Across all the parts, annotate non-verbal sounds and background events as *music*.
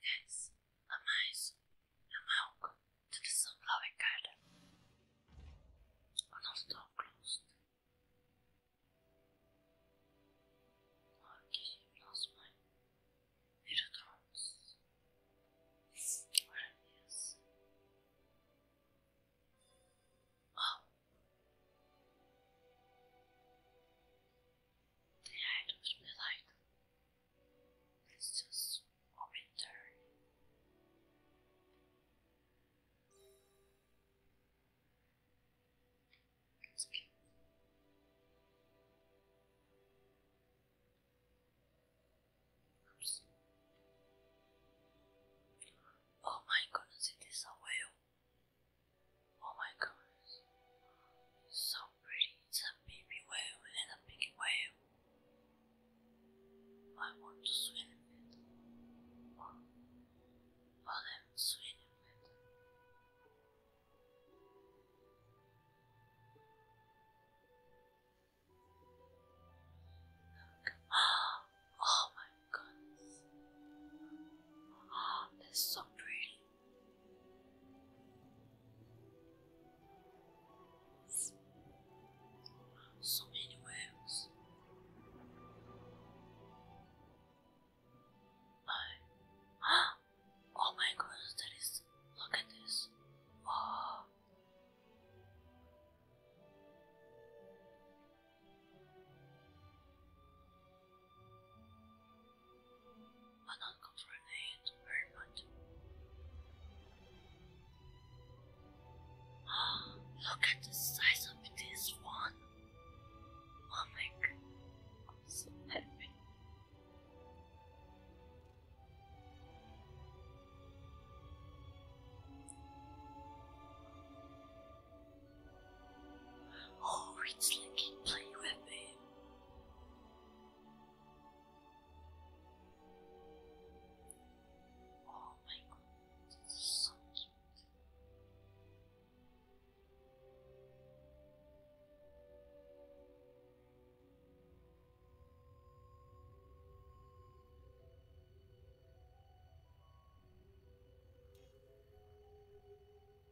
guys, a mais é uma alga de Flower Garden. O nosso top closed. Aqui, nosso mãe. Vira drones. Maravilhas. Oh! Then I it's just a winter. Oh my goodness, it is a whale. Oh my God! It's so pretty. It's a baby whale and a big whale. I want to swim in it. swim in it. Look. *gasps* Oh my goodness. Oh, so pretty. So many whales. Oh, *gasps* oh my goodness, that is. Look at this. Oh. I don't control it very much. Oh, look at the size of this one. Oh my god, I'm so happy. Oh, it's like you play with me. Oh my god, this so cute.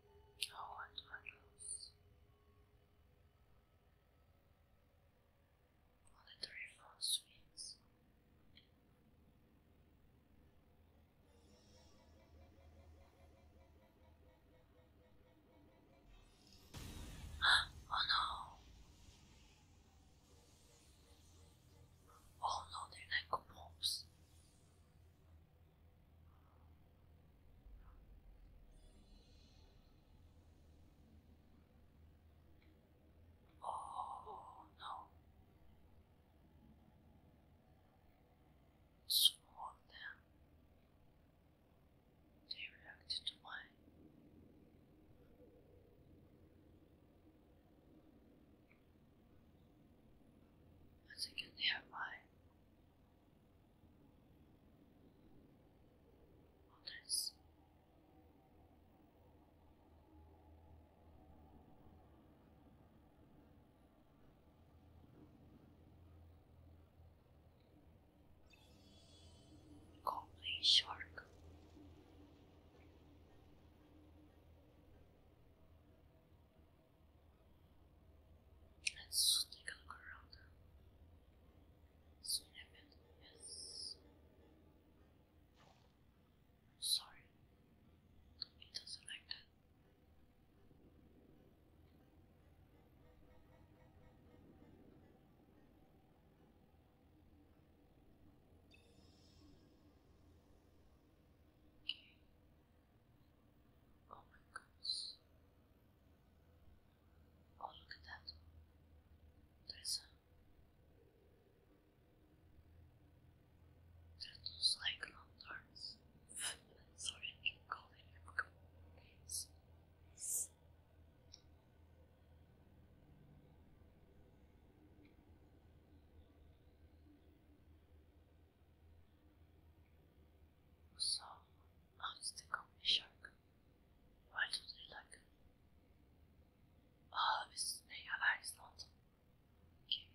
Oh, and candles. Monetary phone swings. oh no! Oh no, they're Oh no. Swore them. They reacted to mine. I think I others. shark. Let's take a look around. Swing a yes. Sorry, it doesn't like that. Okay. Oh my goodness. Oh, look at that. There's a. those like lanterns. *laughs* Sorry, I can't call it Pokemon names. So, how is the company shark? Why do they like it? Oh, this snake eyes not. Okay.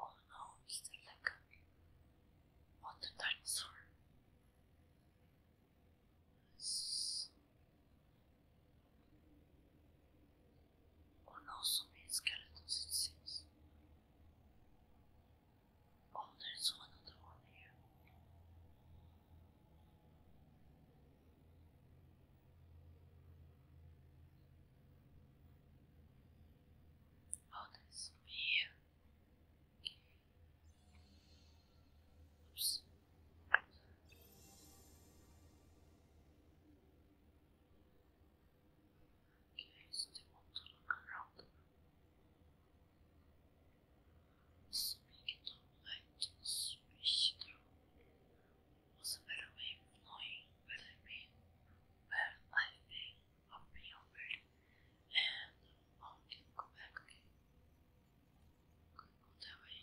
Oh no, it's a like what the dinosaur or not so many skeletons it seems. Oh, there's another one here. Oh, Oops. Okay, I still want to look around. Let's make it look like this a better way of knowing I've I've being offered, and how I can go back again? Could go that way.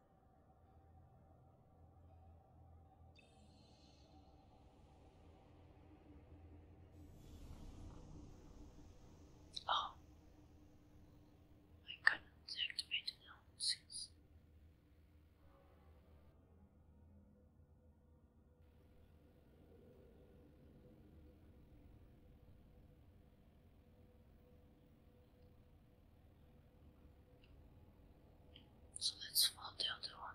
Oh, I couldn't activate so let's fall down other one.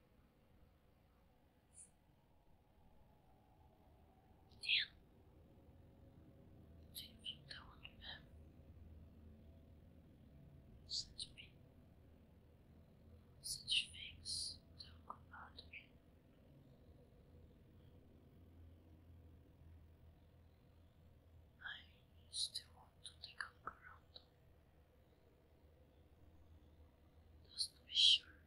Damn. Take from Such me. Such things don't come out I still want to take a look those pressure.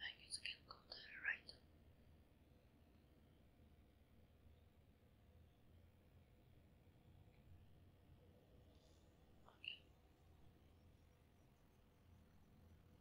I guess I can go there, right? Okay.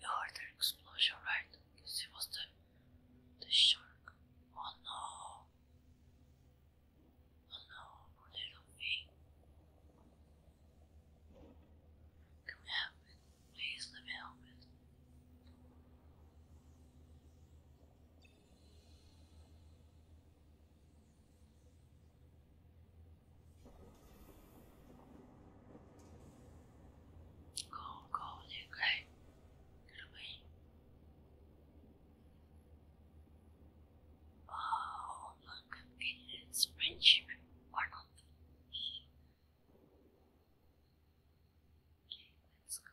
You heard an explosion, right? it was the the shark. Oh no! Oh no, poor little thing. Can we help Please help con có những cái cái đồng oh look it's friendship one of okay let's go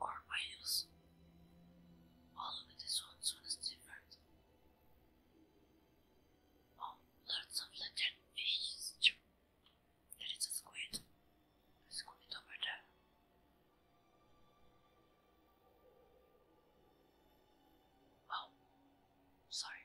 or whales. All of this one soon different. Oh, lots of legend fishes There is a squid. A squid over there. Oh, sorry.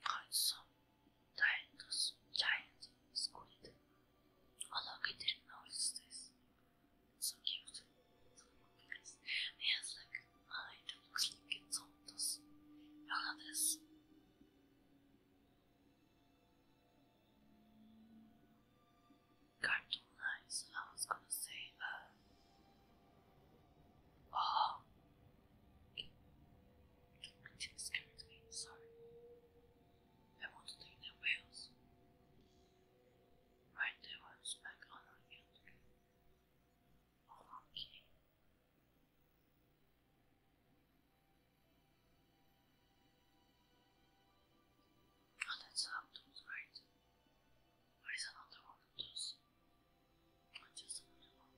Katsum, Dionysus, Giant Squid are located northeast. So cute. So nice. He has like a looks like it's on this. None of Cartoon lines, I was gonna say, uh, oh, it, scared me, sorry. I want to take the wheels. Right, the ones back on our okay. Oh, that's Optimus, right? There is another one of those. just another one.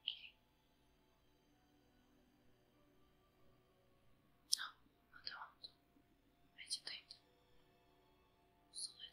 Okay. No, oh, I don't. Meditate. So let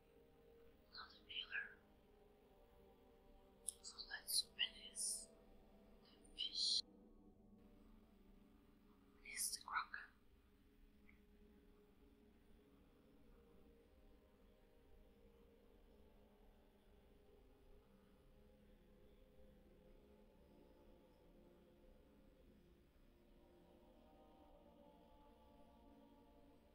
Another a pillar. So let's release the fish. Release the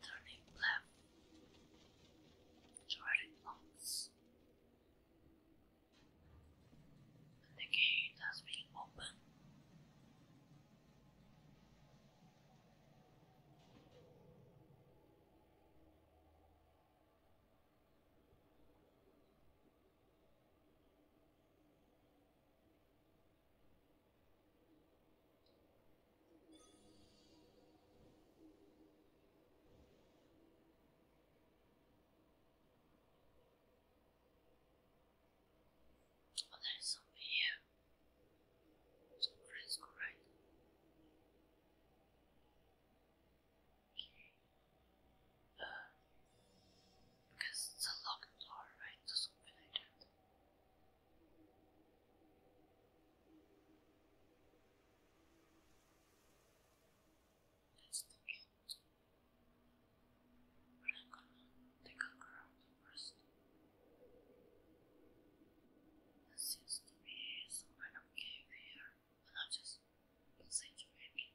turning left, turning lots. And the gate has been opened. Oh, there is something here. Some friends go right. Uh, because it's a locked door, right? Or something like that. Let's end. But I'm gonna take a crowd first. There seems to be some cave here, and I'm just passage maybe.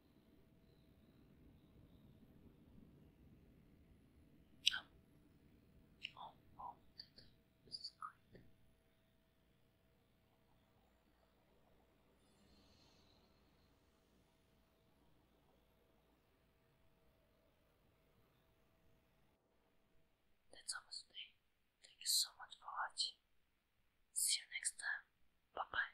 Oh, oh, oh, this Thank you so much for watching. See you next time. Bye bye.